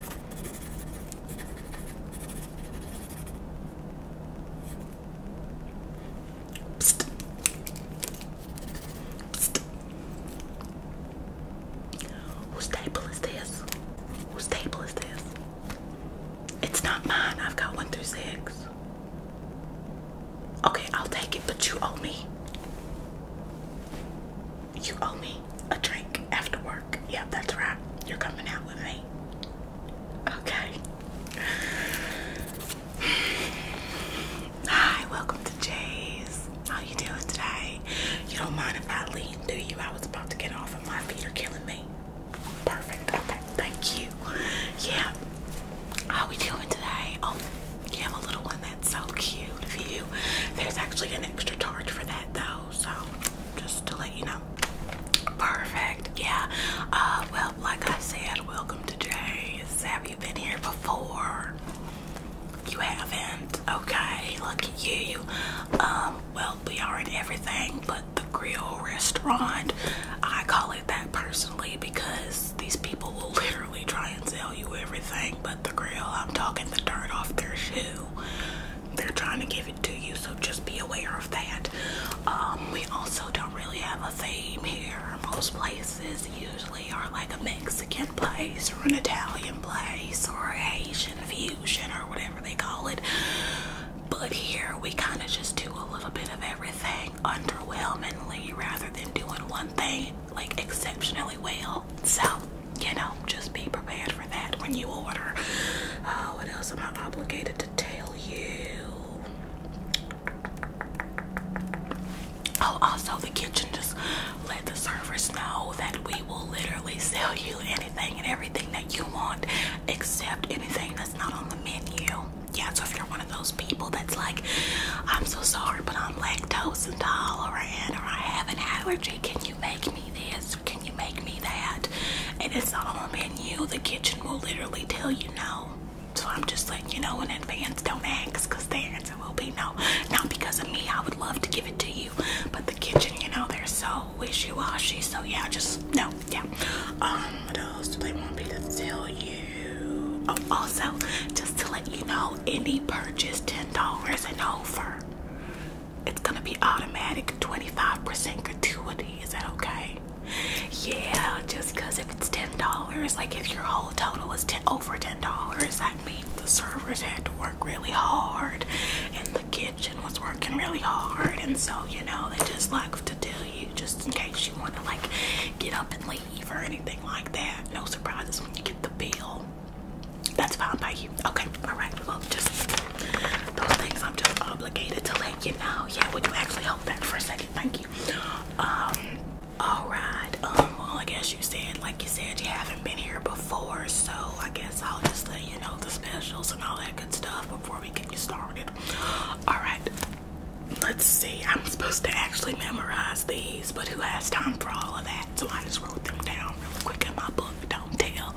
Psst. Whose table is this? Whose table is this? It's not mine. I've got one through six. Okay, I'll take it, but you owe me you owe me a drink after work. Yep, that's right. You're coming out with me. Okay. Hi, welcome to Jay's. How you doing today? You don't mind if I leave, do you? I was about to get off and my feet are killing me. Perfect. Okay, thank you. Yeah. How we doing today? Oh, you a little one that's so cute of you. There's actually an extra charge for that though so just to let you know. Perfect. Yeah. Uh, well, like I said, welcome to Jay's. Have you been here before? You haven't. Okay. Look at you. Um, well, we are in everything but the grill restaurant. I call it that personally because these people will literally try and sell you everything, the grill. I'm talking the dirt off their shoe. They're trying to give it to you, so just be aware of that. Um, we also don't really have a theme here. Most places usually are like a Mexican place or an Italian place or Asian fusion or whatever they call it. But here we kind of just do a little bit of everything underwhelmingly rather than doing one thing like exceptionally well. So, you know, just be prepared for that when you order. Oh, what else am I obligated to tell you? Oh, also, the kitchen just let the servers know that we will literally sell you anything and everything that you want, except anything that's not on the menu. Yeah, so if you're one of those people that's like, I'm so sorry, but I'm lactose intolerant, or I have an allergy can you make me this? Can you make me that? And it's all on you. The kitchen will literally tell you no. So I'm just like, you know in advance. Don't ask, cause the answer will be no. Not because of me. I would love to give it to you, but the kitchen, you know, they're so wishy-washy. So yeah, just no. Yeah. Um, what else do they want me to tell you? Oh, also, just to let you know, any purchase ten dollars and no it's gonna be automatic 25% gratuity. Is that okay? Yeah, just because if it's $10, like if your whole total is over $10, that means the servers had to work really hard and the kitchen was working really hard. And so, you know, they just like to tell you just in case you want to like get up and leave or anything like that. No surprises when you get the bill. That's fine by you. Okay, alright. Well, just those things I'm just obligated to let you know. Yeah, would you actually hold that for a second? Thank you. Um, alright. Um, well, I guess you said, like you said, you haven't been here before, so I guess I'll just let you know the specials and all that good stuff before we get you started. Alright, let's see. I'm supposed to actually memorize these, but who has time for all of that? So I just wrote them down real quick in my book. Don't tell.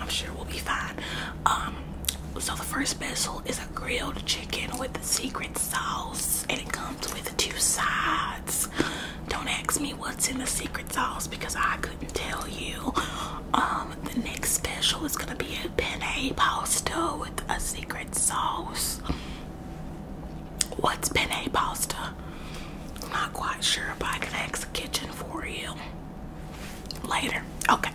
I'm sure we'll be fine. Um, so the first special is a grilled chicken with a secret sauce, and it comes with two sides. Don't ask me what's in the secret sauce because I couldn't tell you. Um, the next special is gonna be a penne pasta with a secret sauce. What's penne pasta? Not quite sure, but I can ask the kitchen for you later. Okay.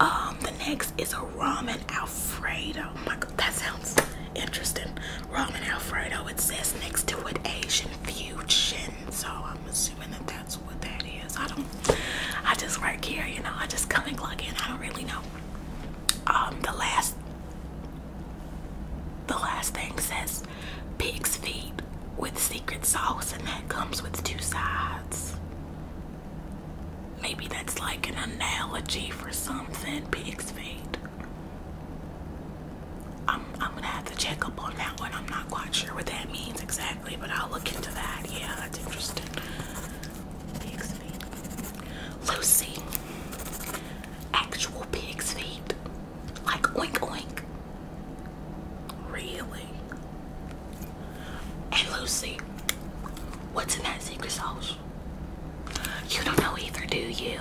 Um, the next is a ramen alfredo. Oh my God, that sounds interesting. Ramen alfredo. It says next to it Asian fusion, so I'm assuming that that's what that is. I don't. I just work here, you know. I just come and plug in. I don't really know. Um, the last the last thing says pig's feet with secret sauce, and that comes with two sides. Maybe that's like an analogy for something, pig's feet. I'm, I'm gonna have to check up on that one. I'm not quite sure what that means exactly, but I'll look into that. Yeah, that's interesting. Lucy, actual pig's feet. Like oink oink. Really? Hey Lucy, what's in that secret sauce? You don't know either, do you?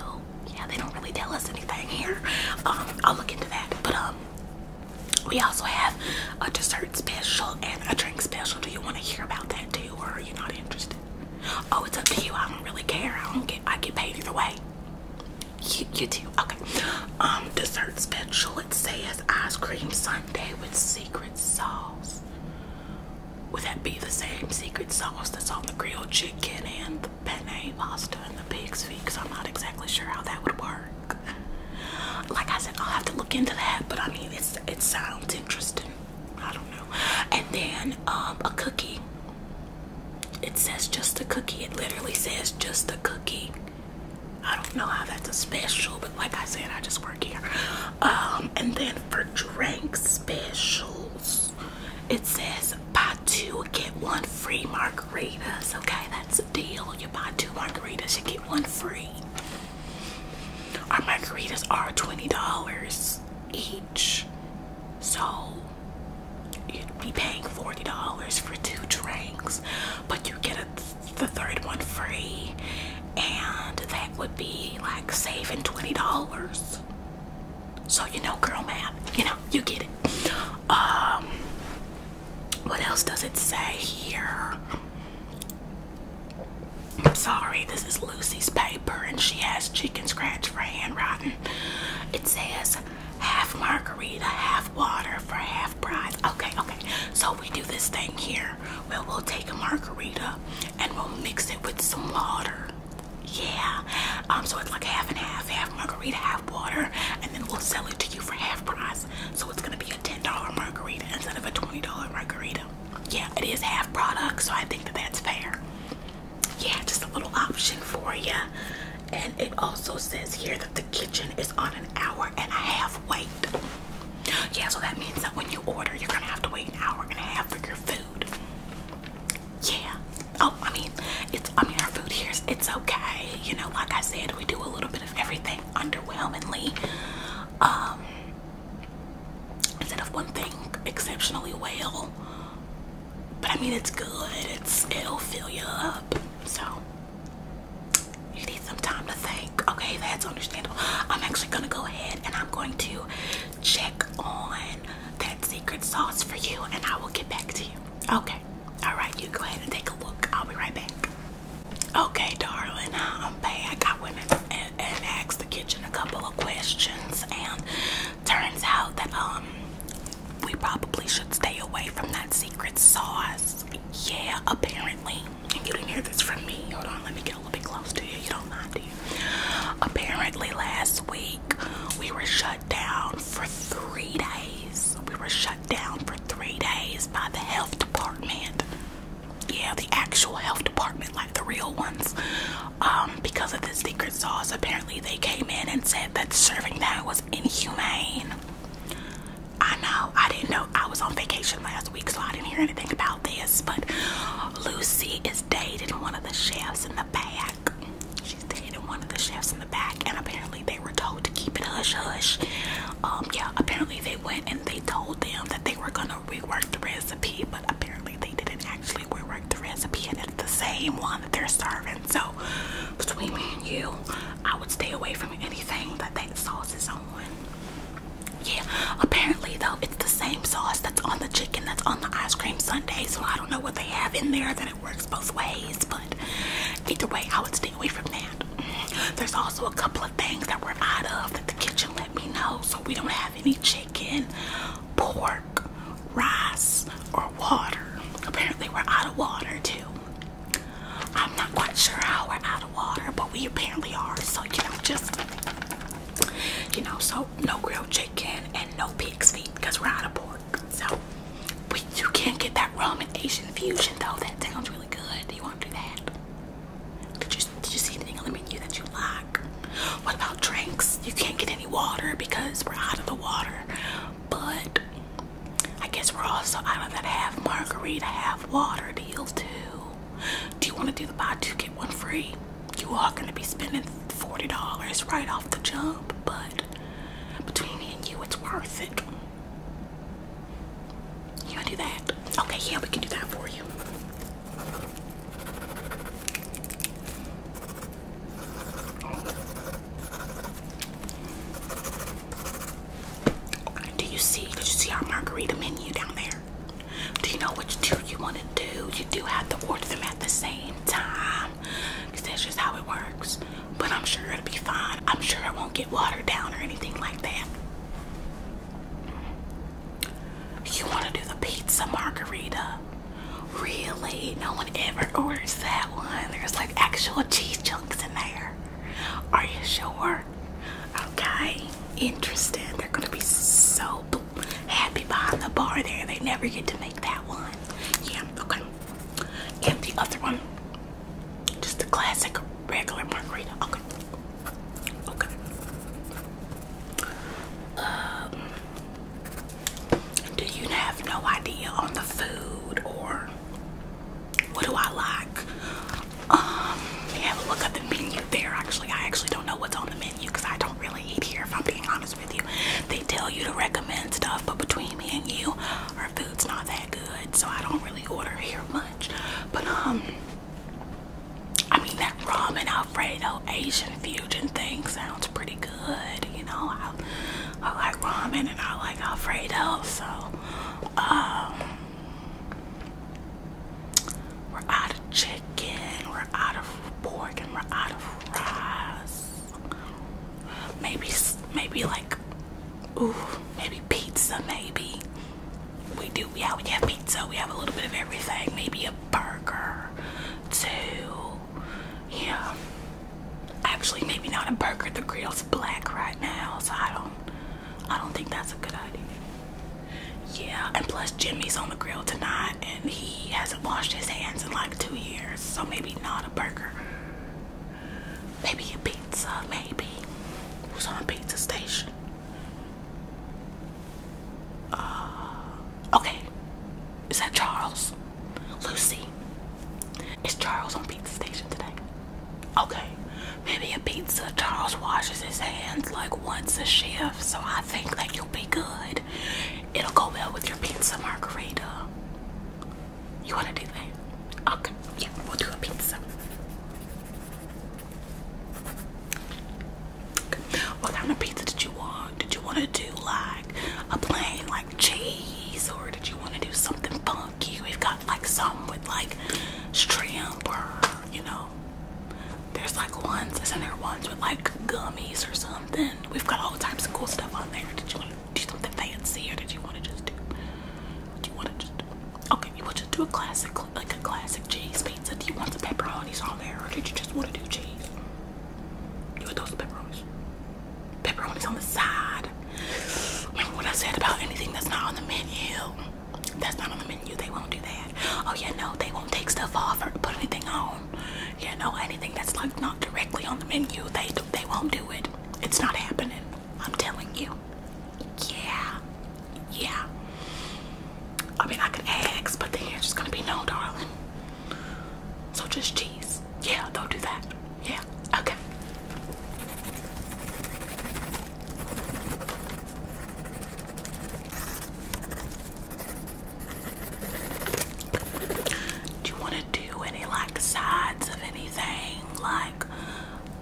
Yeah, they don't really tell us anything here. Um, I'll look into that. But um, we also have a dessert special and a drink special. Do you want to hear about that too, or are you not interested? Oh, it's up to you. I don't really care. I don't get I get paid either way. You you do. Okay. Um dessert special. It says ice cream sundae with secret sauce. Would that be the same secret sauce that's on the grilled chicken and the penne pasta and the pig's feet? Because I'm not exactly sure how that would work. Like I said, I'll have to look into that, but I mean it's it sounds interesting. I don't know. And then um, a cookie. It says just a cookie. It literally says just a cookie. I don't know how that's a special, but like I said, I just work here. Um, and then for drink specials, it says buy two, get one free margaritas. Okay, that's a deal. You buy two margaritas, you get one free. Our margaritas are $20 each. So you'd be paying forty dollars for two drinks, but you get the third one free, and that would be like saving twenty dollars. So you know, girl man, you know, you get it. Um, what else does it say here? I'm sorry, this is Lucy's paper and she has chicken scratch for handwriting. It says half margarita, half water for half price. Okay, okay. So we do this thing here where we'll take a margarita and we'll mix it with some water. Yeah. Um, so it's like half and half, half margarita, half water, and then we'll sell it to you for half price. So it's gonna be a $10 margarita instead of a $20 margarita yeah, it is half product, so I think that that's fair. Yeah, just a little option for you. And it also says here that the kitchen is on an hour and a half wait. Yeah, so that means that when you order, you're gonna have to wait an hour and a half for your food. Yeah. Oh, I mean, it's I mean our food here's it's okay. You know, like I said, we do a little bit of everything underwhelmingly. Um instead of one thing exceptionally well. But I mean, it's good. it'll fill you up. So you need some time to think. Okay, that's understandable. I'm actually gonna go ahead and I'm going to check on that secret sauce for you, and I will get back to you. Okay. All right. You go ahead and take a look. I'll be right back. Okay, darling. I'm back. I went in and asked the kitchen a couple of questions and turns out that um we probably should stay away from that secret sauce. Yeah, apparently. you didn't hear this from me. Hold on, let me get a little bit close to you. You don't mind, do you? Apparently last week we were shut down for three days. We were shut down for three days by the health department yeah, the actual health department, like the real ones, um, because of the secret sauce. Apparently, they came in and said that serving that was inhumane. I know, I didn't know. I was on vacation last week, so I didn't hear anything about this. But Lucy is dating one of the chefs in the back. She's dating one of the chefs in the back, and apparently, they were told to keep it hush hush. Um, yeah, apparently, they went and they told them that they were gonna. We worked the recipe, but apparently they didn't actually rework the recipe, and it's the same one that they're serving. So between me and you, I would stay away from anything that that sauce is on. Yeah, apparently though, it's the same sauce that's on the chicken that's on the ice cream sundae. So I don't know what they have in there that it works both ways, but either way, I would stay away from that. Mm-hmm. There's also a couple of things that we're out of that the kitchen let me know. So we don't have any chicken, pork, rice, or water. Apparently we're out of water too. I'm not quite sure how we're out of water, but we apparently are. So you know, just you know, so no grilled chicken and no pig's feet because we're out of pork. So we you can't get that ramen Asian fusion though. That sounds really good. Do you want to do that? Did you see anything on the menu that you like? What about drinks? You can't get any water because we're out of the water. But I guess we're also out of that half margarita, half water deal too. Do you want to do the buy two get one free? You are gonna be spending forty dollars right off the jump, but between me and you, it's worth it. You gonna do that? Okay, yeah, we can do that for you. Do you see? Did you see our margarita menu down there? Do you know which two you want to do? You do have to order them at the same time. Because that's just how it works. But I'm sure it'll be fine. I'm sure it will be fine i am sure I will not get watered down or anything like that. You want to do the pizza margarita? Really? No one ever orders that one. There's like actual cheese chunks in there. Are you sure? Okay. Interesting. They're going to be so happy behind the bar there. They never get to make that one. Yeah, okay. And the other one, just a classic regular margarita. Okay. Okay. Um, do you have no idea on the food or what do I like? Um, have a look at the menu there. Actually, I actually don't know what's on the menu because I don't really eat here. If I'm being honest with you, they tell you to recommend stuff, but between me and you, our food's not that good, so I don't really order here much. But um I mean that ramen Alfredo Asian fusion thing sounds pretty good, you know. I, I like ramen and I like Alfredo, so um we're out of chicken, we're out of pork, and we're out of rice. Maybe, maybe like Ooh, maybe pizza, maybe. We do, yeah, we have pizza. We have a little bit of everything. Maybe a burger, too. Yeah. Actually, maybe not a burger. The grill's black right now, so I don't, I don't think that's a good idea. Yeah, and plus Jimmy's on the grill tonight, and he hasn't washed his hands in like two years, so maybe not a burger. Maybe a pizza, maybe. Who's on pizza station? Uh, okay. Is that Charles? Lucy? Is Charles on pizza station today? Okay. Maybe a pizza. Charles washes his hands like once a shift, so I think that you'll be good. It'll go well with your pizza margarita. You want to do that? Okay, yeah, we'll do a pizza. Okay. What kind of pizza did you want? Did you want to do like a plain like cheese or did you want to do something funky? We've got like some with like shrimp or you know, there's like ones, isn't there ones with like gummies or something? We've got all types of cool stuff on there. Did you want do something fancy or did you want to just do do you want to just do? okay you want to do a classic like a classic cheese pizza do you want the pepperonis on there or did you just want to do cheese you want those pepperonis pepperonis on the side what I said about anything that's not on the menu that's not on the menu they won't do that oh yeah no they won't take stuff off or put anything on yeah no anything that's like not directly on the menu they they won't do it it's not happening I'm telling you. Yeah. Yeah. I mean, I could ask, but then it's just gonna be no, darling. So just cheese. Yeah, don't do that. Yeah, okay. Do you want do any like sides of anything, like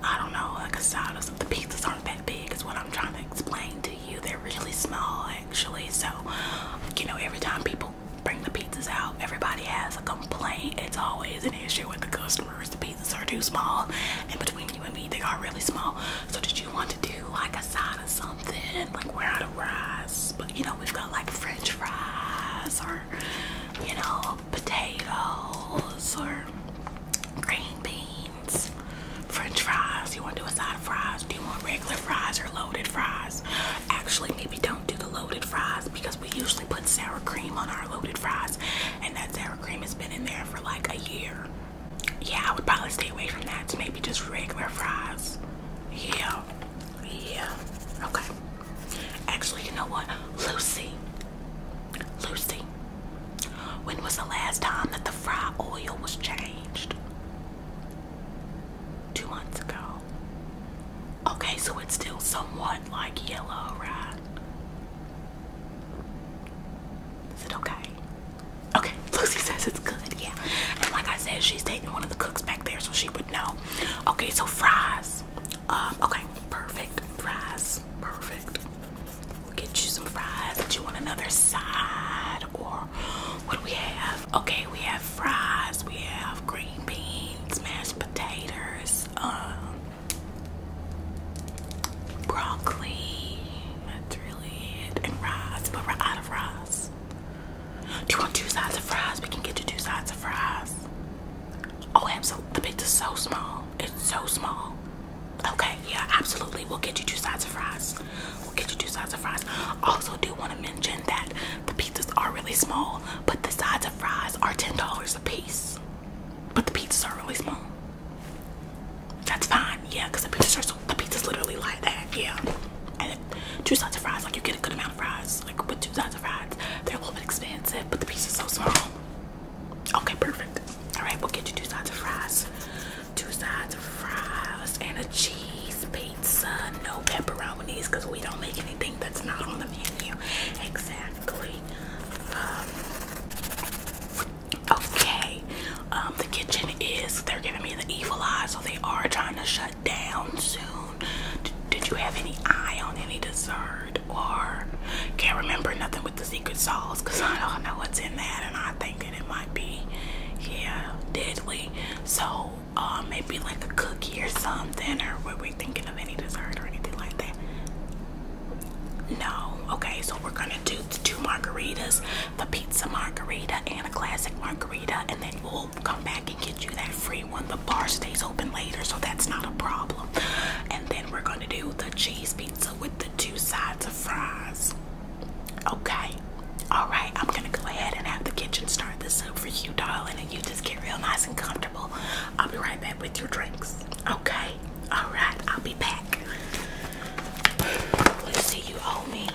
I don't know, like a side of The pizzas aren't that big, is what I'm trying to explain to you. They're really small, actually. So, you know, every time people bring the pizzas out, everybody has a complaint. It's always an issue with the customers. The pizzas are too small, and between you and me, they are really small. So, did you want to do like a side of something, like we're out of rice, but you know, we've got like French fries or you know, potatoes or green beans, french fries. You want to do a side of fries? Do you want regular fries or loaded fries? Actually, maybe don't do the loaded fries because we usually put sour cream on our loaded fries, and that sour cream has been in there for like a year. Yeah, I would probably stay away from that to maybe just regular fries. Yeah, yeah, okay. Actually, you know what? Lucy. Lucy. When was the last time that the fry oil was changed? Two months ago. Okay, so it's still somewhat like yellow, right? Is it okay? Okay, Lucy says it's good, yeah. And like I said, she's taking one of the cooks back there so she would know. Okay, so fries. Um, okay, perfect. Fries, perfect. We'll get you some fries. Do you want another side or what do we have? Okay, we have fries, we have green beans, mashed potatoes, um broccoli, that's really it, and rice, but we're out of rice. Do you want two sides of fries? We can get you two sides of fries. Oh, so The pizza's so small. It's so small. Okay, yeah, absolutely. We'll get you two sides of fries. We'll get you two sides of fries. Also, do want to mention that the pizzas are really small, but the sides of fries are $10 a piece. But the pizzas are really small. That's fine, yeah, because the pizzas are the pizzas literally like that, yeah two sides of fries. Like you get a good amount of fries, like with two sides of fries. They're a little bit expensive, but the piece is so small. Okay, perfect. All right, we'll get you two sides of fries, two sides of fries, and a cheese pizza. No pepperonis, cause we don't make anything that's not on the menu. Exactly. Um, okay. Um, the kitchen is—they're giving me the evil eye, so they are trying to shut down soon. did you have any eye on any dessert? Or can't remember nothing with the secret sauce because I don't know what's in that and I think that it might be, yeah, deadly. So uh, maybe like a cookie or something or were we thinking of any dessert or anything like that? No. Okay, so we're gonna do the two margaritas, the pizza margarita and a classic margarita, and then we'll come back and get you that free one. The bar stays open later, so that's not a problem. And then we're gonna do the cheese pizza with the two sides of fries. Okay. Alright, I'm gonna go ahead and have the kitchen start the soup for you, darling, and you just get real nice and comfortable. I'll be right back with your drinks. Okay. Alright, I'll be back. Let's see you owe me.